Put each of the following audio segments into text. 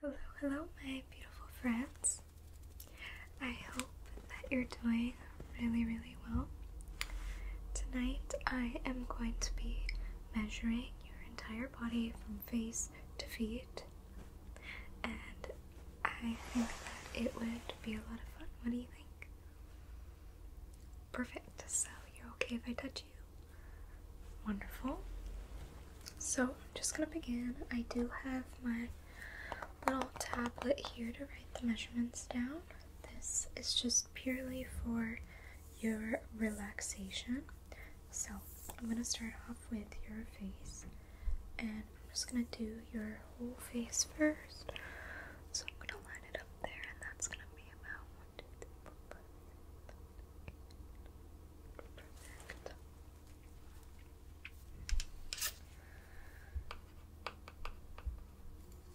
Hello, hello, my beautiful friends. I hope that you're doing really, really well. Tonight, I am going to be measuring your entire body from face to feet, and I think that it would be a lot of fun. What do you think? Perfect. So, you're okay if I touch you? Wonderful. So I'm just gonna begin. I do have my little tablet here to write the measurements down. This is just purely for your relaxation. So I'm gonna start off with your face and I'm just gonna do your whole face first. So I'm gonna line it up there and that's gonna be about one, two, three, four, five, six, seven, eight, nine, ten. Perfect.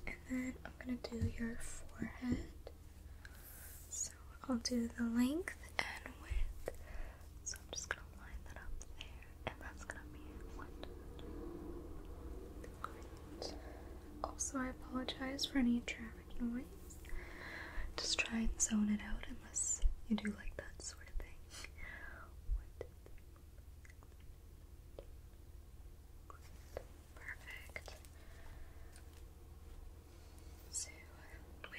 And then I'm going to do your forehead. So I'll do the length and width. So I'm just going to line that up there. And that's going to be one. Great. Also, I apologize for any traffic just try and zone it out unless you do like that sort of thing. Perfect. So with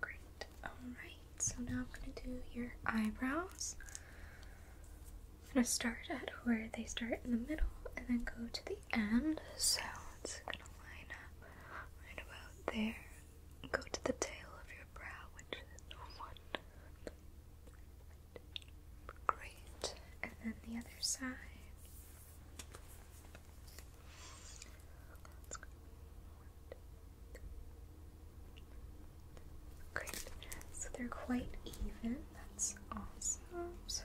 Great. Alright, so now I'm going to do your eyebrows. I'm going to start at where they start in the middle and then go to the end. So it's going to line up right about there. Go to the tail of your brow, which is the Great. And then the other side. Great. So they're quite even. That's awesome. So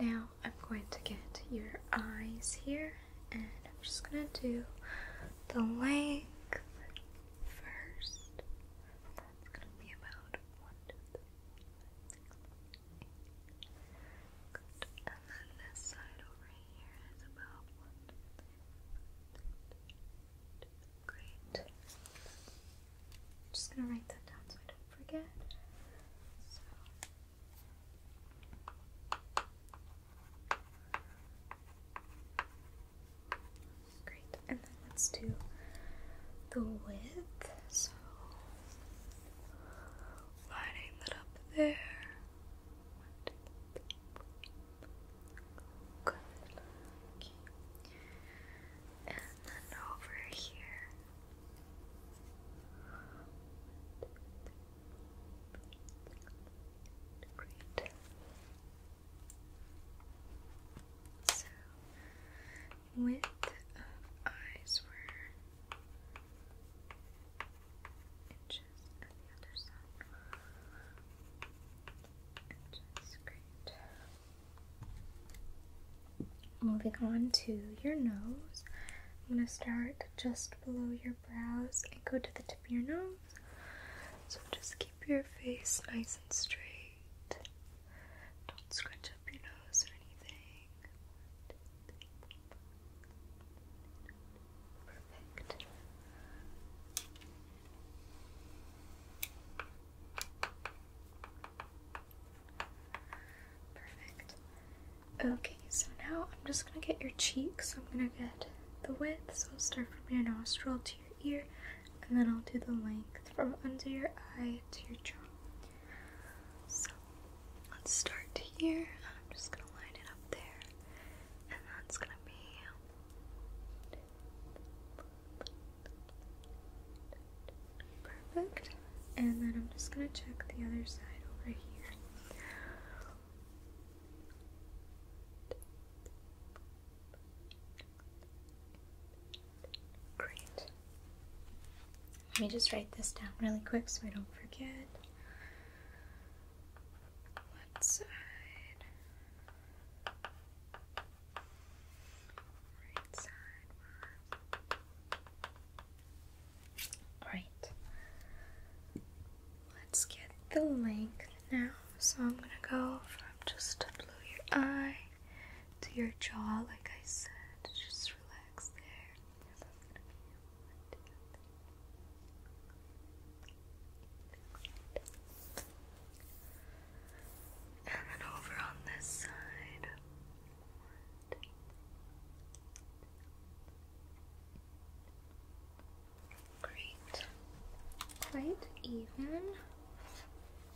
now I'm going to get your eyes here and I'm just going to do the length first that's going to be about 1, And then this side over here is about 1, Great. I'm just going to write that down so I don't forget. Great. And then let's do the width. So lining that up there. Good. And then over here. Great. So, width of eyes were inches on the other side. Inches, great. Moving on to your nose. I'm going to start just below your brows and go to the tip of your nose. So just keep your face nice and straight. Don't scrunch up your nose or anything. Perfect. Perfect. Okay, so now I'm just gonna get your cheeks. I'm gonna get the width, so I'll start from your nostril to your ear and then I'll do the length from under your eye to your jaw. So let's start here. I'm just gonna line it up there, and that's gonna be. Perfect. And then I'm just going to check the other side over here. Great. Let me just write this down really quick so I don't forget. Left side. Right side. Alright. Let's get the length now. So I'm going to go from just below your eye to your jaw, like I said. Just relax there. And then over on this side. Great. Quite even.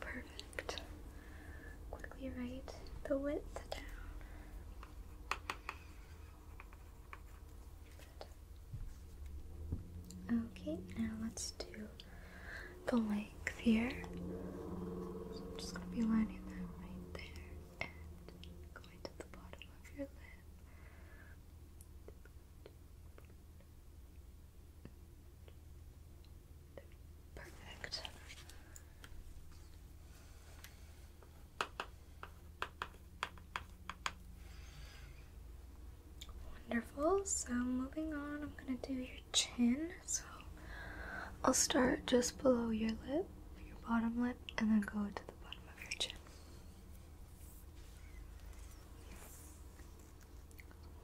Perfect. Quickly write the width down. Okay, now let's do the length here. I'm just gonna be lining that right there. Perfect. Wonderful. So, moving on, I'm going to do your chin. So, I'll start just below your lip your bottom lip and then go to the bottom of your chin.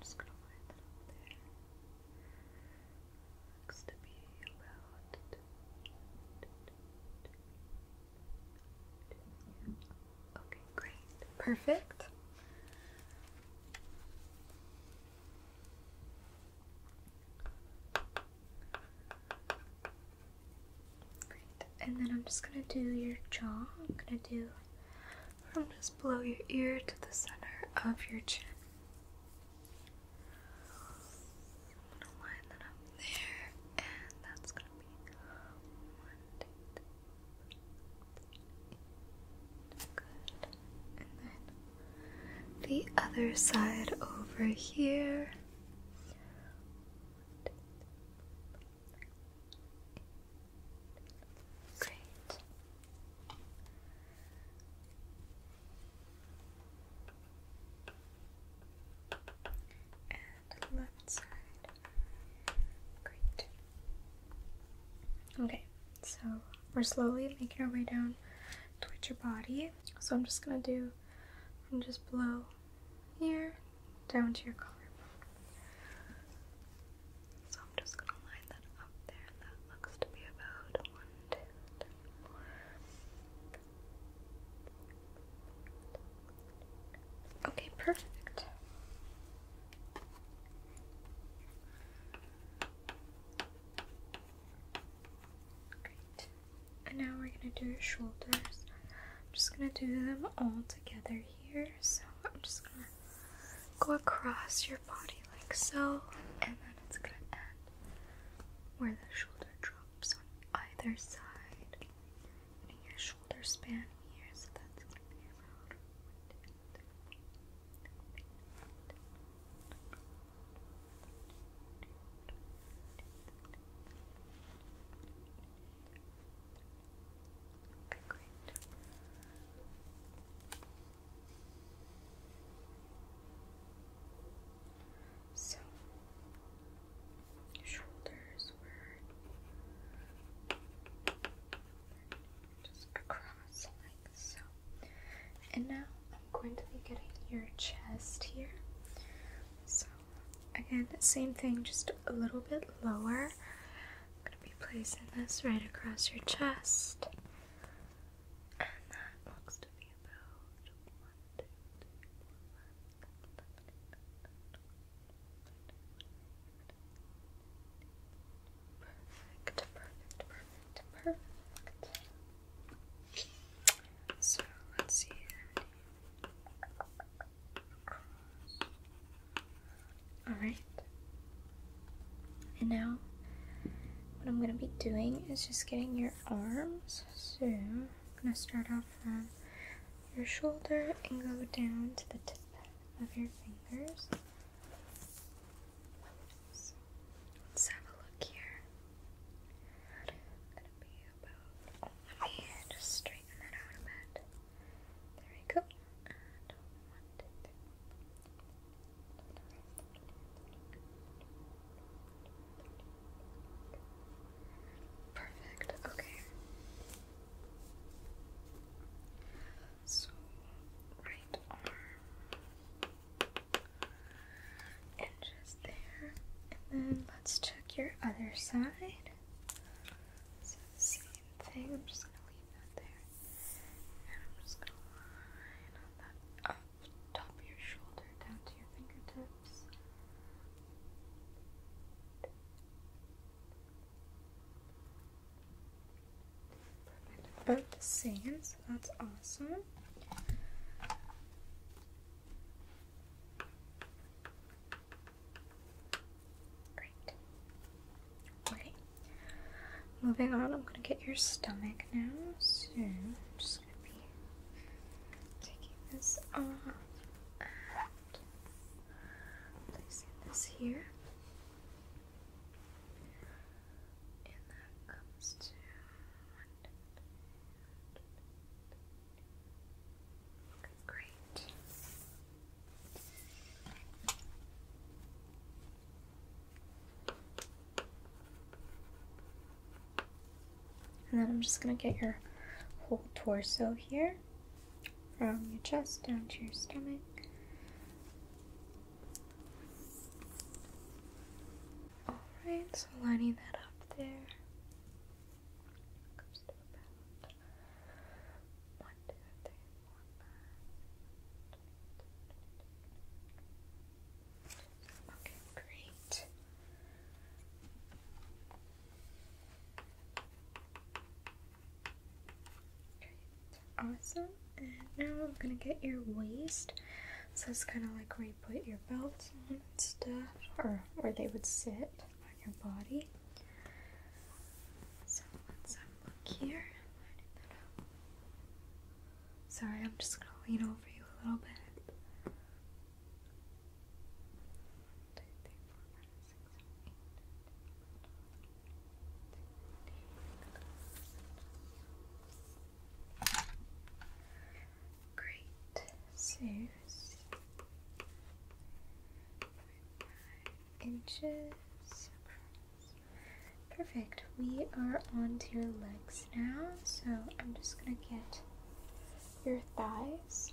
just gonna line that up there. Looks to be about Okay, great. Perfect. And then I'm just gonna do your jaw. I'm gonna do from just below your ear to the center of your chin. I'm gonna line that up there, and that's gonna be one, two, three, good. And then the other side over here. Great. And left side. Great. Okay, so we're slowly making our way down towards your body. So I'm just gonna do, I'm just blow here down to your collarbone. So I'm just gonna line that up there. That looks to be about one, two, three, four. Okay, perfect. And now we're gonna do your shoulders. I'm just gonna do them all together here. So I'm just gonna go across your body like so, and then it's gonna end where the shoulder drops on either side. And your shoulder span here, so that's gonna be around so shoulders were just across like so. And now I'm going to be getting your chest here. So, again, same thing, just a little bit lower. I'm going to be placing this right across your chest. And that looks to be about Perfect, perfect, perfect, perfect. So let's see Alright. And now, what I'm going to be doing is just getting your arms. So I'm going to start off from your shoulder and go down to the tip of your fingers let's have a look here. let me just straighten that out a bit. There we go. Perfect. Okay. So right arm and just there. And then let's check your other side. So same thing. I'm just gonna leave that there, and I'm just gonna line up top of your shoulder down to your fingertips. About the same, so that's awesome. Great. Okay. Moving on, I'm gonna get your stomach now. So I'm just gonna be taking this off placing this here. And that comes to Great. And then I'm just going to get your whole torso here from your chest down to your stomach. Alright, so lining that up there comes Okay, Great. Awesome. And now I'm gonna get your waist. So it's kind of like where you put your belts on and stuff, or where they would sit on your body. So let's have a look here. Sorry, I'm just gonna lean over you a little bit. Great. So inches. Perfect. We are onto your legs now. So I'm just gonna get your thighs.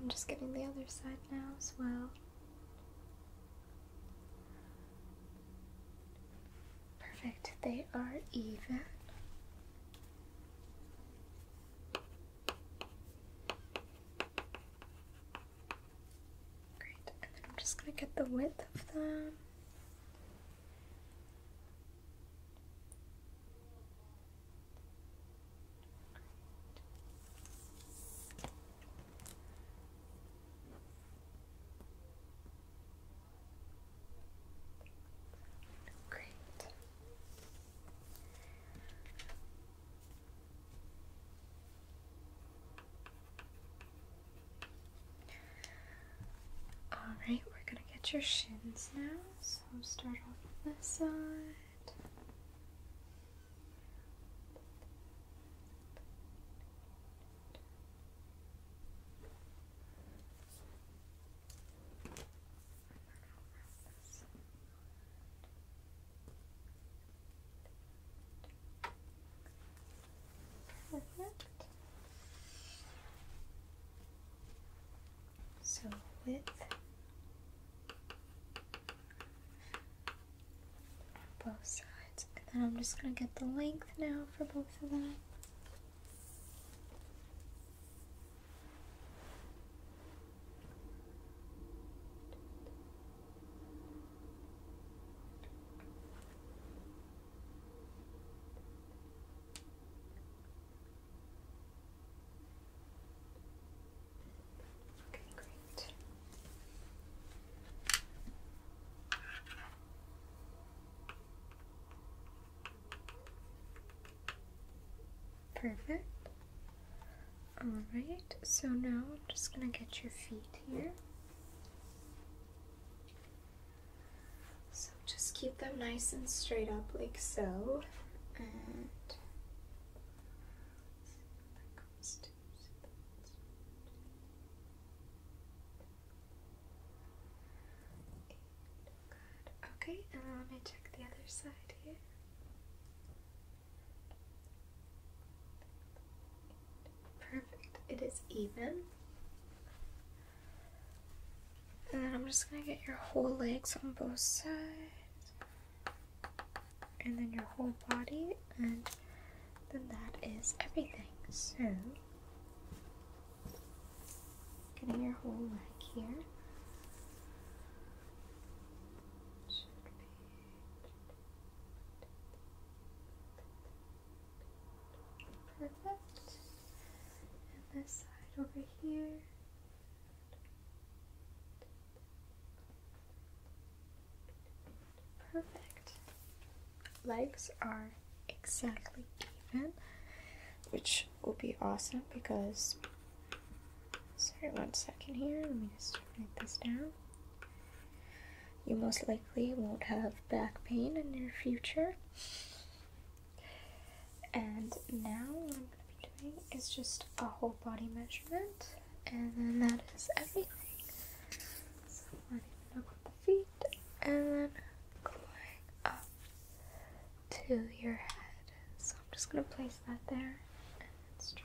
I'm just getting the other side now as well. Perfect, they are even. Great, I'm just gonna get the width of them. Great. Alright, we're gonna get your shins now. So start off with this side. Perfect. So width both sides. And then I'm just gonna get the length now for both of them. Okay, great. Perfect. All right, so now I'm just going to get your feet here. So just keep them nice and straight up like so. Okay, and let me check the other side here. Perfect. It is even. And then I'm just going to get your whole legs on both sides. And then your whole body. And then that is everything. So, getting your whole leg here. Perfect. And this side over here. Perfect. Legs are exactly even, which will be awesome because. Sorry, one second here. Let me just write this down. You most likely won't have back pain in your future. And now what I'm going to be doing is just a whole body measurement, and then that is everything. So I'm going to the feet, and then going up to your head. So I'm just going to place that there, and stretch.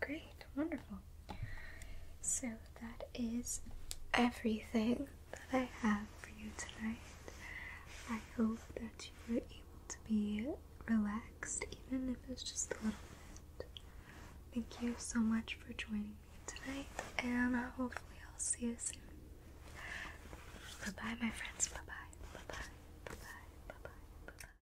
Great, wonderful. So that is everything that I have for you tonight. I hope that you were able to be relaxed, even if it's just a little bit. Thank you so much for joining me tonight, and hopefully, I'll see you soon. Bye bye, my friends. Bye bye. Bye bye. Bye bye. Bye bye.